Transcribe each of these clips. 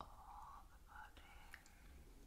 all the body. All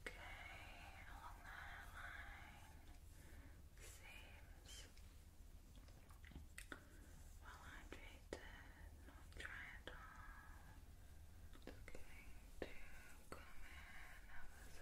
Okay, along that line seems well hydrated, not dry at all. It's to come in,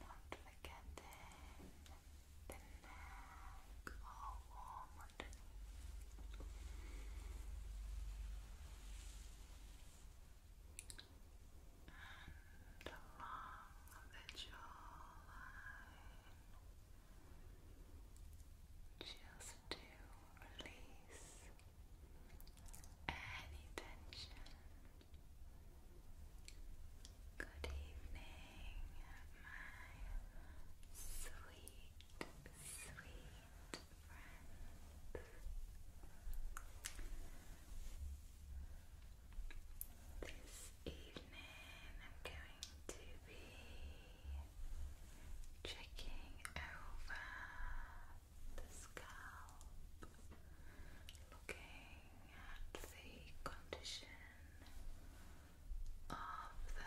Not forgetting the neck oh, all warm and along the jawline just to release any tension. Good evening, my sweet, sweet this evening I'm going to be checking over the scalp, looking at the condition of the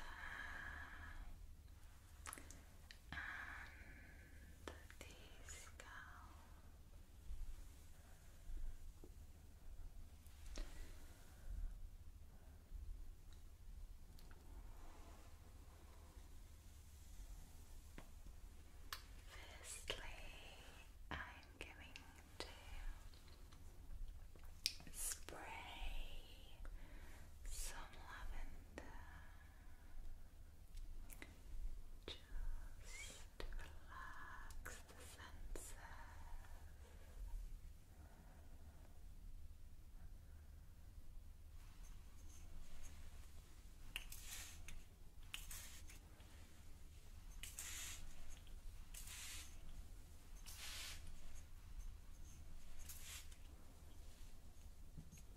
the scalp. Firstly, I'm going to spray some lavender just relax the senses.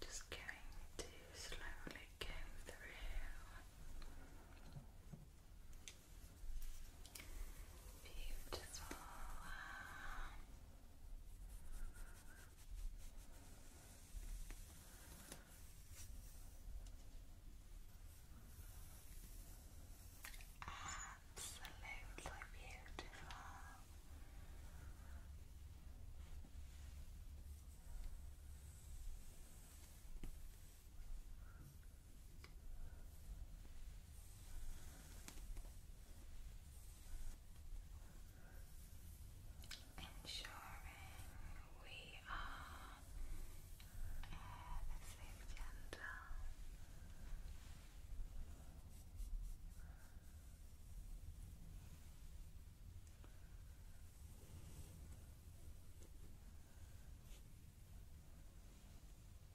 Just going to slowly go through. Beautiful. Absolutely beautiful ensuring we are at the same gender.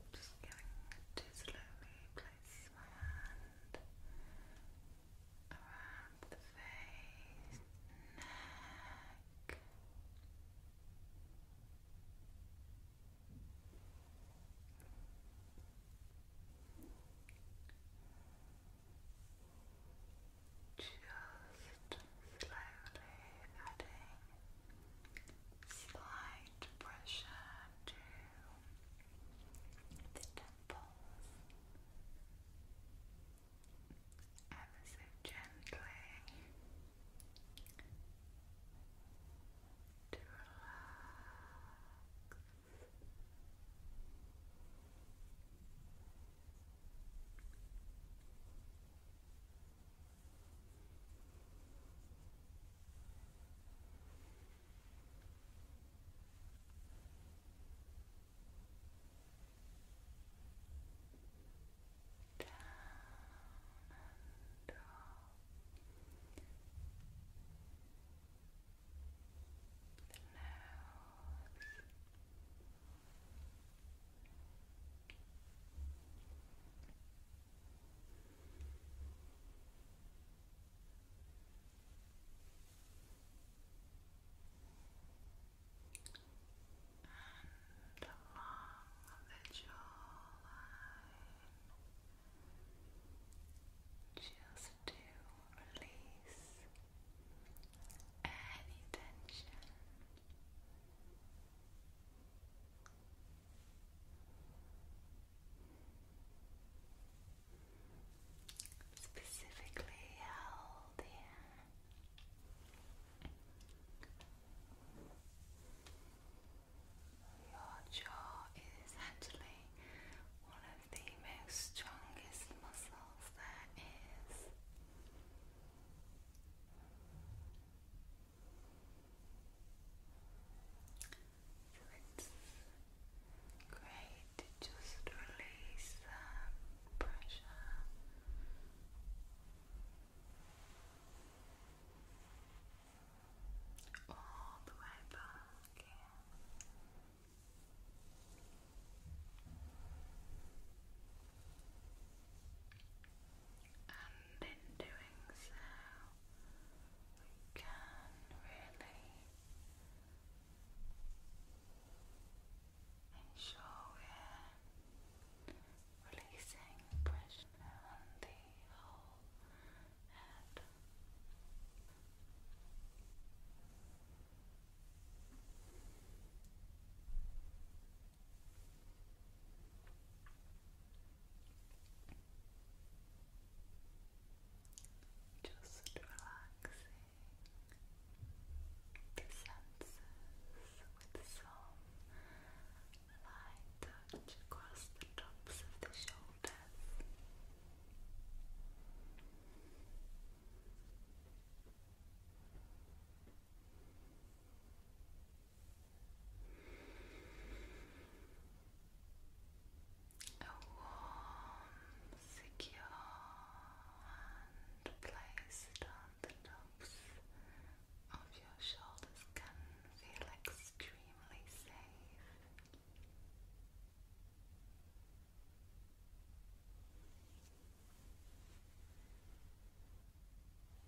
I'm just going to slowly place my hand around the face, neck. Just slowly adding slight pressure to the temples ever so gently to relax the nose and along the jawline, just to release any tension specifically held here. Your jaw is actually one of the most strongest muscles there is. It's great to just release the pressure. All the way back in and in doing so, we can really ensure we're releasing pressure on the whole head. Just relaxing the senses with some light touch across the tops of the shoulders. A warm, secure hand placed on the tops of your shoulders can feel extremely safe.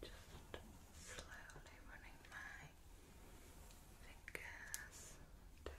Just slowly running my fingers to that.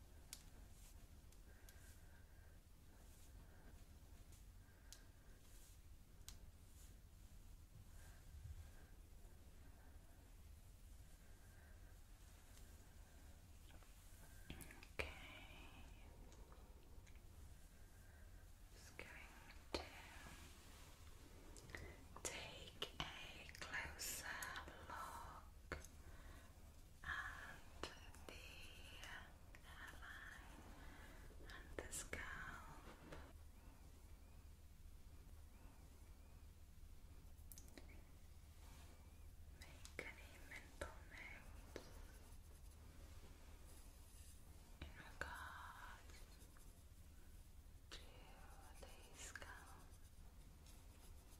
Okay. Just going to take a closer look and the hairline and the scalp. Make any mental notes in regards to the scalp.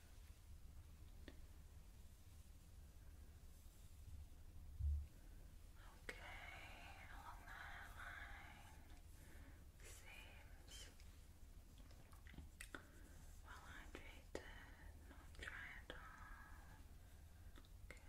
Okay, along seems well hydrated, not dry at all. Okay,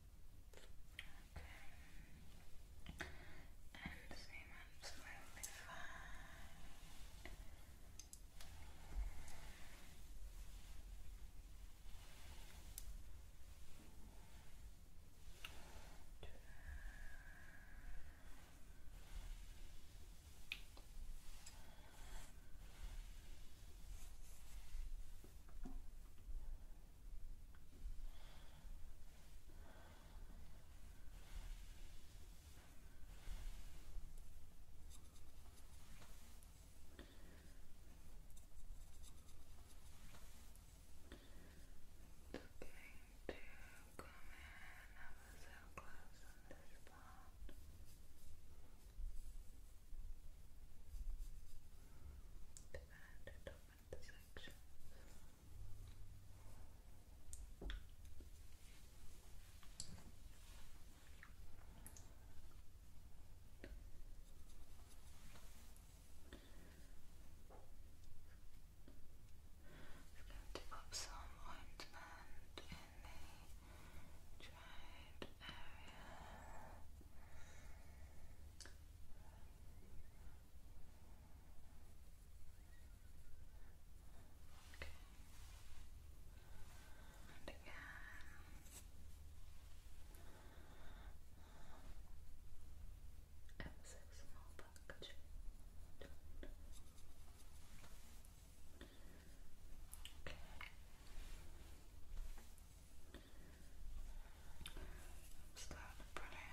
Okay. And seem absolutely fine. Okay to come in ever so close on this part. The band the sections. I'm going to pop some ointment in the dried area. Okay. And again. Ever so small package. Okay. That's brilliant.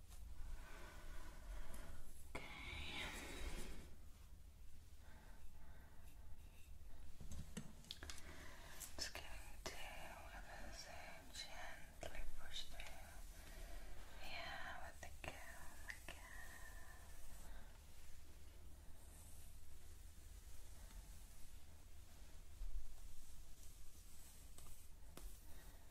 Okay. Just going to everything gently push through. Yeah, with the comb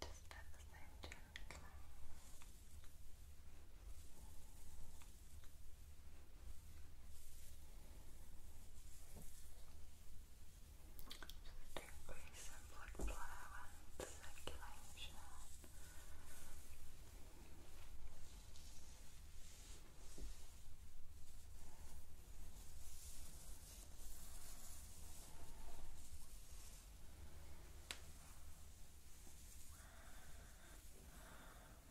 Just at just increase blood flow and circulation.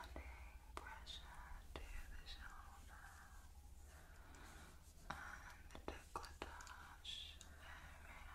adding pressure to the shoulder and the decolletage area.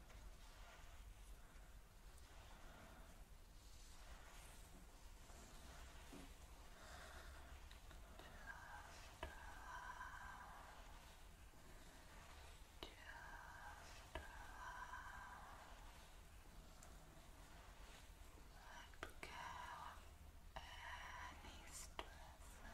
Let go Let go of any stresses.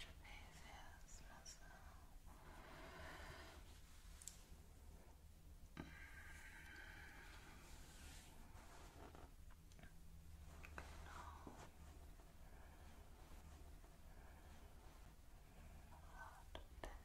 trapezius muscle. A lot of tension within our shoulders. Relax.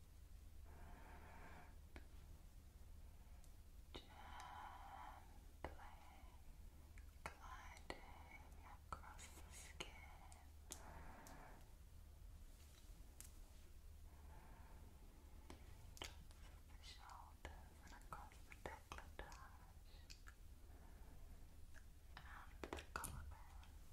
Gently gliding across the skin. Tops of the shoulders across the decolletage. And the collarbones.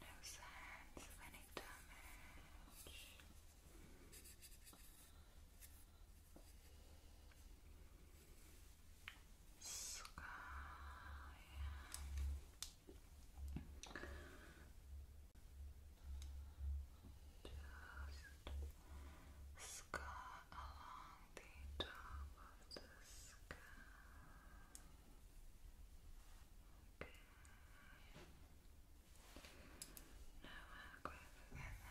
No sense of any damage. Sky. Just sky along the top of the sky. Okay. Now I'll go in area.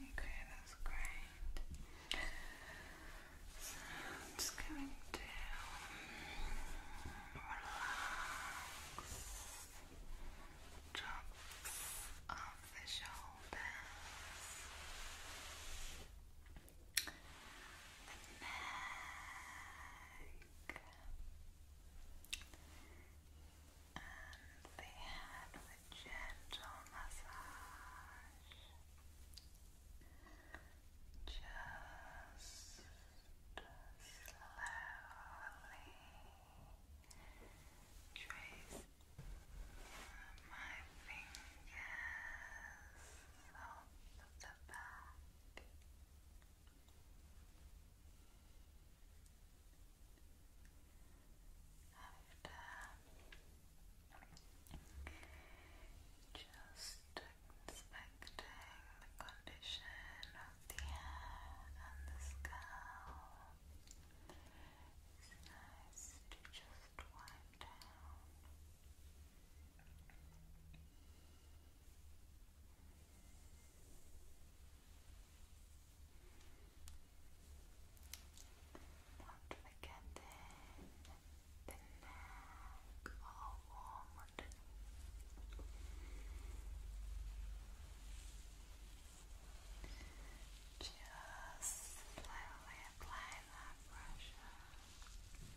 Okay. Okay, that's great. So I'm just going to um, relax drops off the shoulders the neck, and the head with gentle massage. Just slowly tracing my fingers off the back. After just inspecting the condition of the hair and the scalp, it's nice to just left one not forget the neck, all warm Just slowly apply that pressure. Good.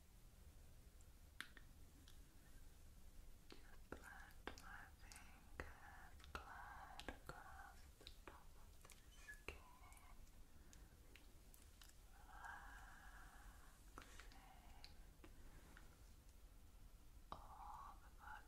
Just let my fingers glide across the top of the skin, relaxing all the body.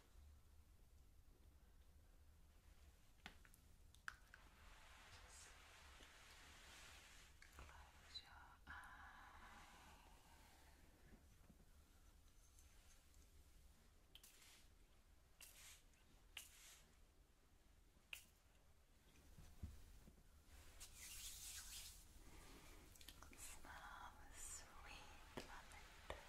Close your eyes. Smell sweet lavender.